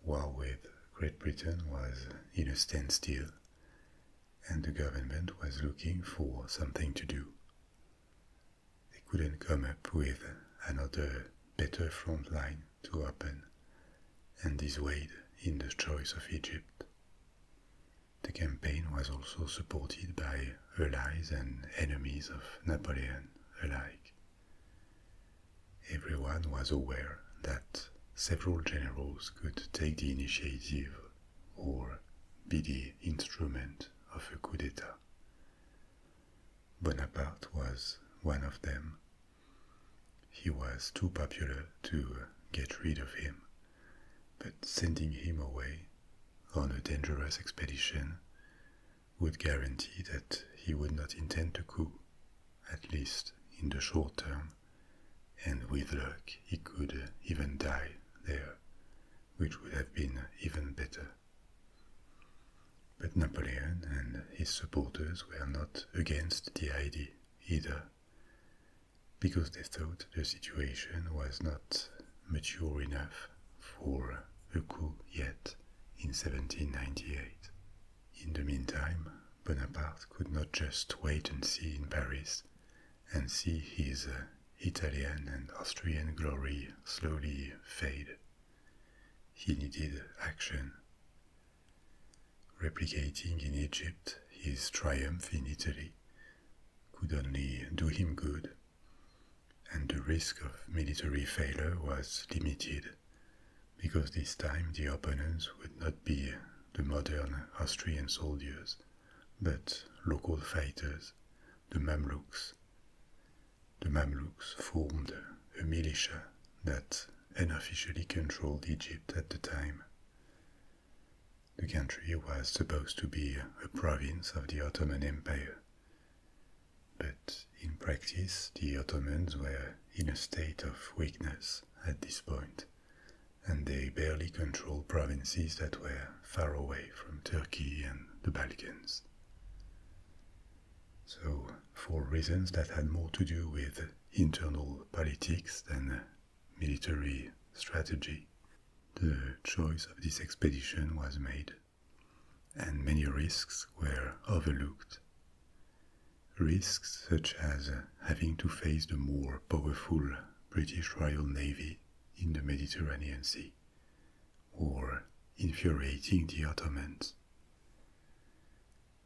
War with Great Britain was in a standstill, and the government was looking for something to do. They couldn't come up with another better front line to open, and this weighed in the choice of Egypt. The campaign was also supported by allies and enemies of Napoleon alike. Everyone was aware that several generals could take the initiative or be the instrument of a coup d'etat. Bonaparte was one of them. He was too popular to get rid of him but sending him away on a dangerous expedition would guarantee that he would not intend to coup, at least in the short term, and with luck he could even die there, which would have been even better. But Napoleon and his supporters were not against the idea either, because they thought the situation was not mature enough for a coup yet in 1798. In the meantime, Bonaparte could not just wait and see in Paris and see his uh, Italian and Austrian glory slowly fade. He needed action. Replicating in Egypt his triumph in Italy, could only do him good, and the risk of military failure was limited because this time the opponents would not be the modern Austrian soldiers, but local fighters, the Mamluks. The Mamluks formed a militia that unofficially controlled Egypt at the time. The country was supposed to be a province of the Ottoman Empire. But in practice, the Ottomans were in a state of weakness at this point, and they barely controlled provinces that were far away from Turkey and the Balkans. So, for reasons that had more to do with internal politics than military strategy, the choice of this expedition was made, and many risks were overlooked. Risks such as having to face the more powerful British Royal Navy in the Mediterranean Sea, or infuriating the Ottomans.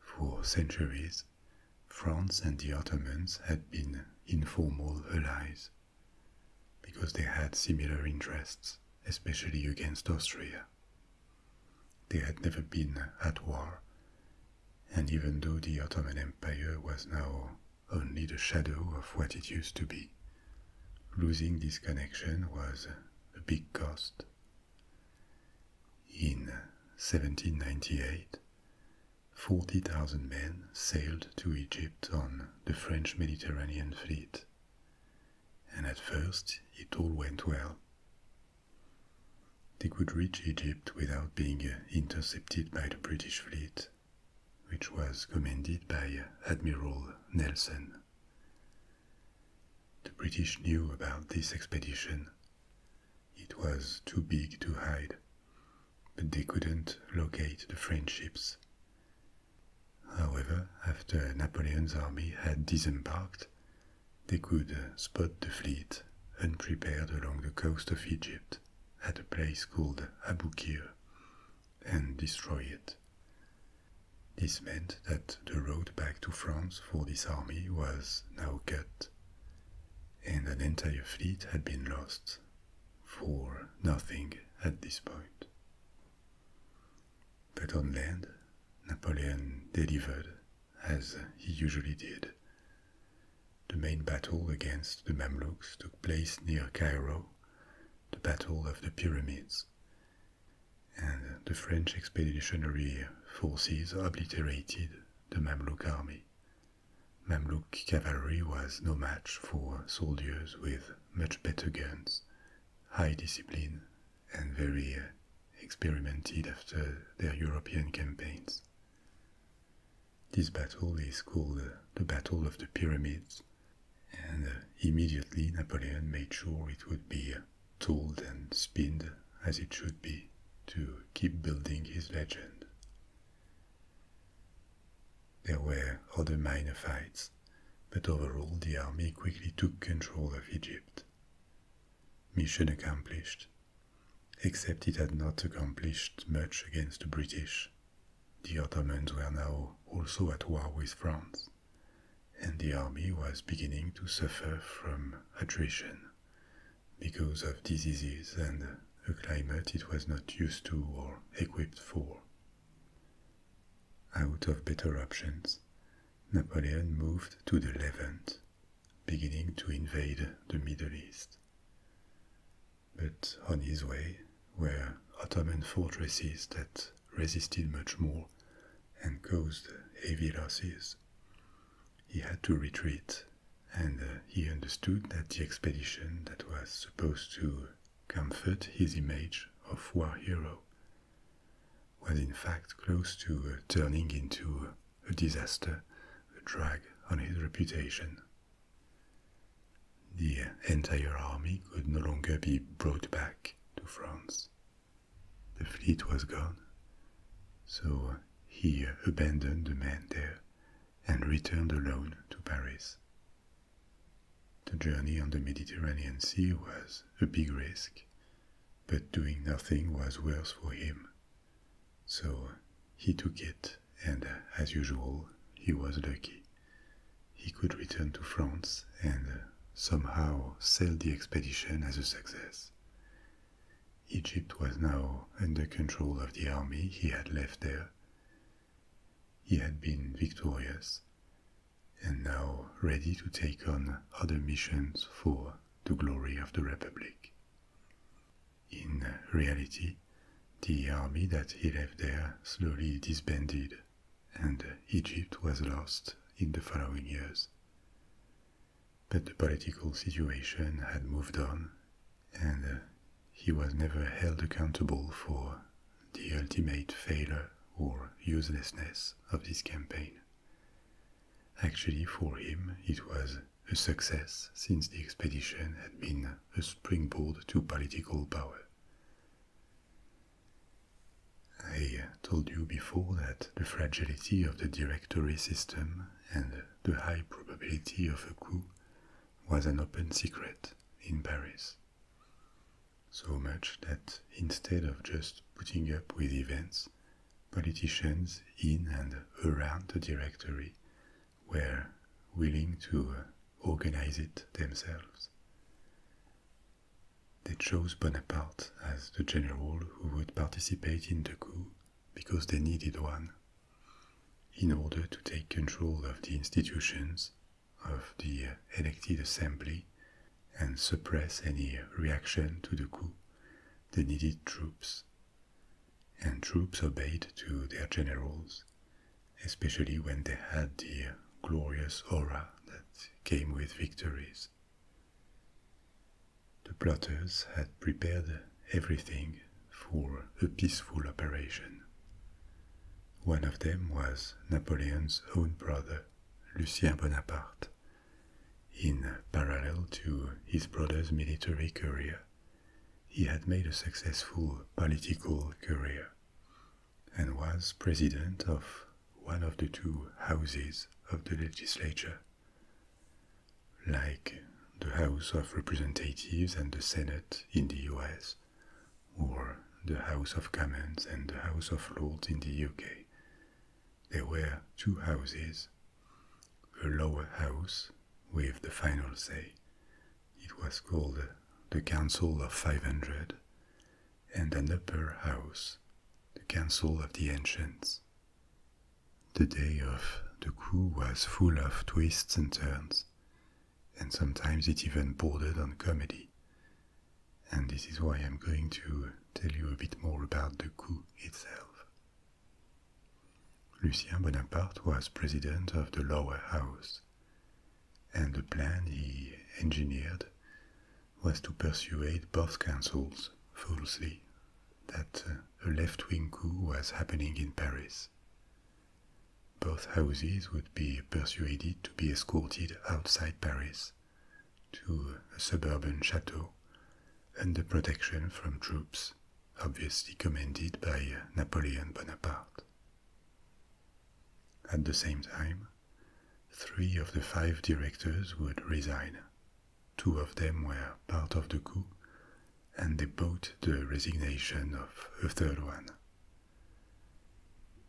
For centuries, France and the Ottomans had been informal allies because they had similar interests, especially against Austria. They had never been at war, and even though the Ottoman Empire was now only the shadow of what it used to be, losing this connection was a big cost. In 1798, 40,000 men sailed to Egypt on the French Mediterranean fleet. And at first, it all went well. They could reach Egypt without being uh, intercepted by the British fleet, which was commanded by uh, Admiral Nelson. The British knew about this expedition. It was too big to hide, but they couldn't locate the French ships. However, after Napoleon's army had disembarked, they could uh, spot the fleet unprepared along the coast of Egypt at a place called Aboukir and destroy it. This meant that the road back to France for this army was now cut, and an entire fleet had been lost for nothing at this point. But on land, Napoleon delivered, as he usually did. The main battle against the Mamluks took place near Cairo, the Battle of the Pyramids, and the French expeditionary forces obliterated the Mamluk army. Mamluk cavalry was no match for soldiers with much better guns, high discipline, and very uh, experimented after their European campaigns. This battle is called uh, the Battle of the Pyramids, and uh, immediately Napoleon made sure it would be told and spinned as it should be to keep building his legend. There were other minor fights, but overall the army quickly took control of Egypt. Mission accomplished, except it had not accomplished much against the British. The Ottomans were now also at war with France, and the army was beginning to suffer from attrition because of diseases and a climate it was not used to or equipped for. Out of better options, Napoleon moved to the Levant, beginning to invade the Middle East. But on his way were Ottoman fortresses that resisted much more and caused heavy losses. He had to retreat, and uh, he understood that the expedition that was supposed to comfort his image of war hero, was in fact close to uh, turning into uh, a disaster, a drag on his reputation. The entire army could no longer be brought back to France. The fleet was gone, so he abandoned the men there and returned alone to Paris. The journey on the Mediterranean Sea was a big risk, but doing nothing was worse for him. So he took it, and as usual, he was lucky. He could return to France and somehow sell the expedition as a success. Egypt was now under control of the army he had left there, he had been victorious and now ready to take on other missions for the glory of the Republic. In reality, the army that he left there slowly disbanded, and Egypt was lost in the following years. But the political situation had moved on, and he was never held accountable for the ultimate failure or uselessness of this campaign. Actually, for him, it was a success since the expedition had been a springboard to political power. I told you before that the fragility of the directory system and the high probability of a coup was an open secret in Paris. So much that instead of just putting up with events, politicians in and around the directory were willing to uh, organize it themselves. They chose Bonaparte as the general who would participate in the coup because they needed one in order to take control of the institutions of the elected assembly and suppress any reaction to the coup, the needed troops. And troops obeyed to their generals, especially when they had the glorious aura that came with victories. The plotters had prepared everything for a peaceful operation. One of them was Napoleon's own brother, Lucien Bonaparte. In parallel to his brother's military career, he had made a successful political career and was president of one of the two houses of the legislature. Like the House of Representatives and the Senate in the US, or the House of Commons and the House of Lords in the UK. There were two houses a lower house with the final say. It was called the Council of 500, and an upper house, the Council of the Ancients. The day of the coup was full of twists and turns and sometimes it even bordered on comedy. And this is why I'm going to tell you a bit more about the coup itself. Lucien Bonaparte was president of the lower house, and the plan he engineered was to persuade both councils falsely that uh, a left-wing coup was happening in Paris. Both houses would be persuaded to be escorted outside Paris to a suburban chateau under protection from troops, obviously commanded by Napoleon Bonaparte. At the same time, three of the five directors would resign. Two of them were part of the coup, and they bought the resignation of a third one,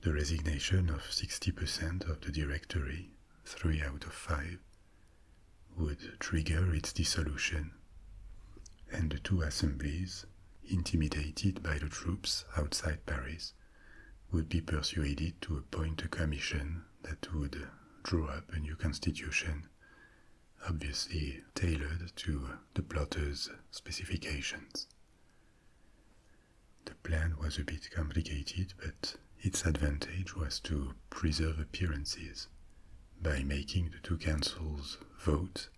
the resignation of 60% of the Directory, three out of five, would trigger its dissolution, and the two assemblies, intimidated by the troops outside Paris, would be persuaded to appoint a commission that would draw up a new constitution, obviously tailored to the plotters' specifications. The plan was a bit complicated, but its advantage was to preserve appearances by making the two councils vote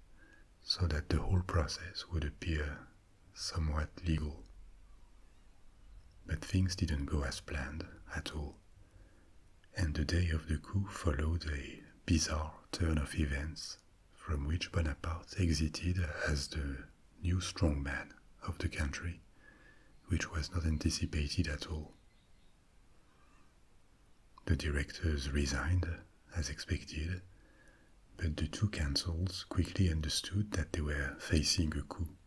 so that the whole process would appear somewhat legal. But things didn't go as planned at all, and the day of the coup followed a bizarre turn of events from which Bonaparte exited as the new strongman of the country, which was not anticipated at all. The directors resigned, as expected, but the two councils quickly understood that they were facing a coup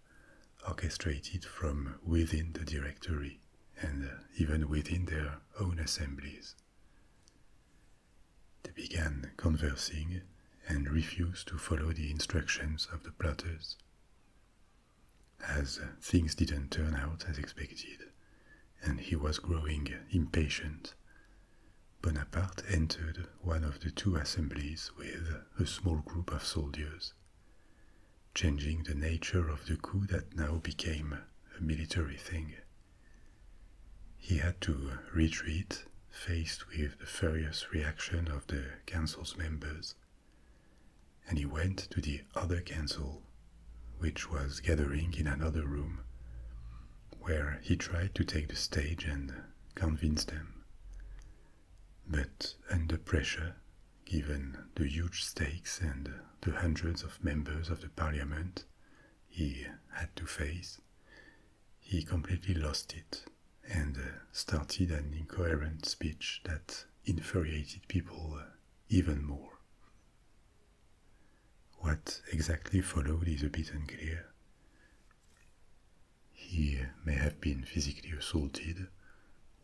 orchestrated from within the Directory and even within their own assemblies. They began conversing and refused to follow the instructions of the plotters. As things didn't turn out as expected, and he was growing impatient, Bonaparte entered one of the two assemblies with a small group of soldiers, changing the nature of the coup that now became a military thing he had to retreat, faced with the furious reaction of the council's members, and he went to the other council, which was gathering in another room, where he tried to take the stage and convince them. But under pressure, given the huge stakes and the hundreds of members of the parliament he had to face, he completely lost it and uh, started an incoherent speech that infuriated people uh, even more. What exactly followed is a bit unclear. He uh, may have been physically assaulted,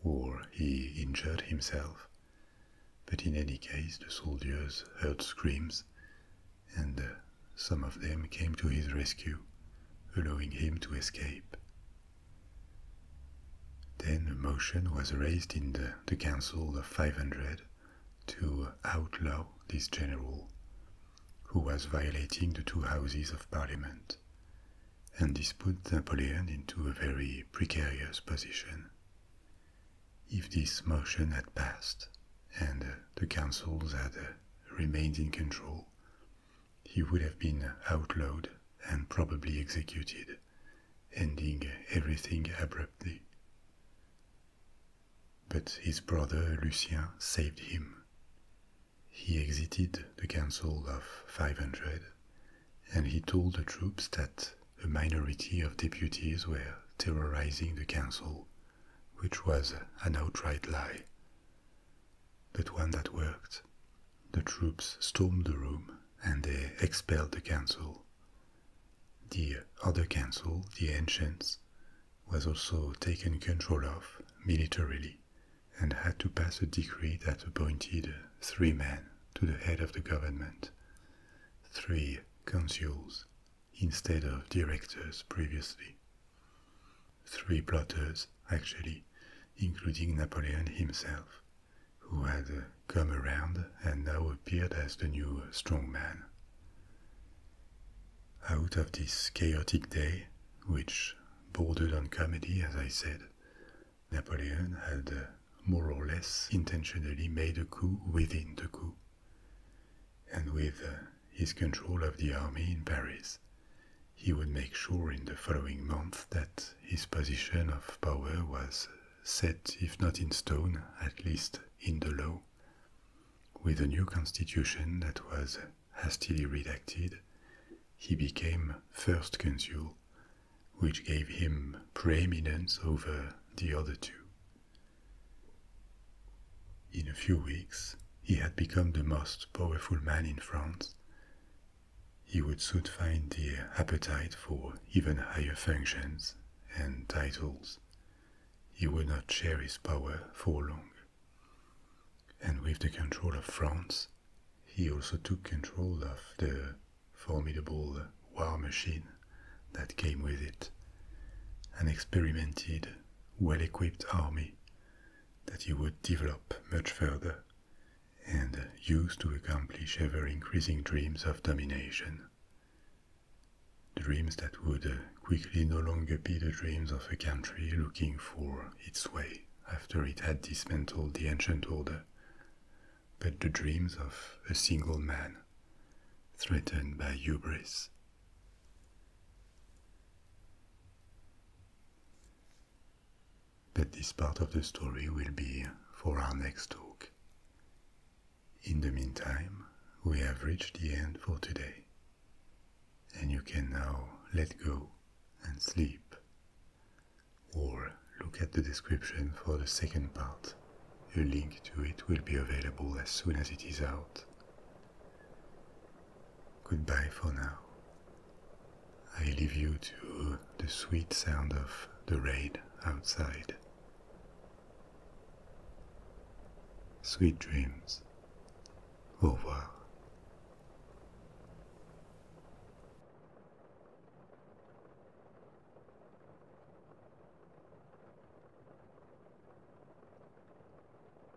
or he injured himself, but in any case, the soldiers heard screams and uh, some of them came to his rescue, allowing him to escape. Then a motion was raised in the, Council of 500 to outlaw this general, who was violating the two houses of parliament, and this put Napoleon into a very precarious position. If this motion had passed, and the council that remained in control, he would have been outlawed and probably executed, ending everything abruptly. But his brother Lucien saved him. He exited the Council of 500 and he told the troops that a minority of deputies were terrorizing the council which was an outright lie. But one that worked. The troops stormed the room and they expelled the council. The other council, the ancients, was also taken control of militarily and had to pass a decree that appointed three men to the head of the government, three consuls, instead of directors previously. Three plotters, actually, including Napoleon himself, who had uh, come around and now appeared as the new strong man. Out of this chaotic day, which bordered on comedy, as I said, Napoleon had uh, more or less intentionally made a coup within the coup. And with uh, his control of the army in Paris, he would make sure in the following month that his position of power was set, if not in stone, at least in the law. With a new constitution that was hastily redacted, he became first consul, which gave him preeminence over the other two. In a few weeks, he had become the most powerful man in France. He would soon find the appetite for even higher functions and titles. He would not share his power for long. And with the control of France, he also took control of the formidable war machine that came with it and experimented well equipped army that he would develop much further and use to accomplish ever increasing dreams of domination. Dreams that would uh, quickly no longer be the dreams of a country looking for its way after it had dismantled the ancient order, but the dreams of a single man threatened by hubris but this part of the story will be for our next talk. In the meantime, we have reached the end for today, and you can now let go and sleep, or look at the description for the second part. A link to it will be available as soon as it is out. Goodbye for now. I leave you to the sweet sound of the rain outside. Sweet dreams. Au revoir.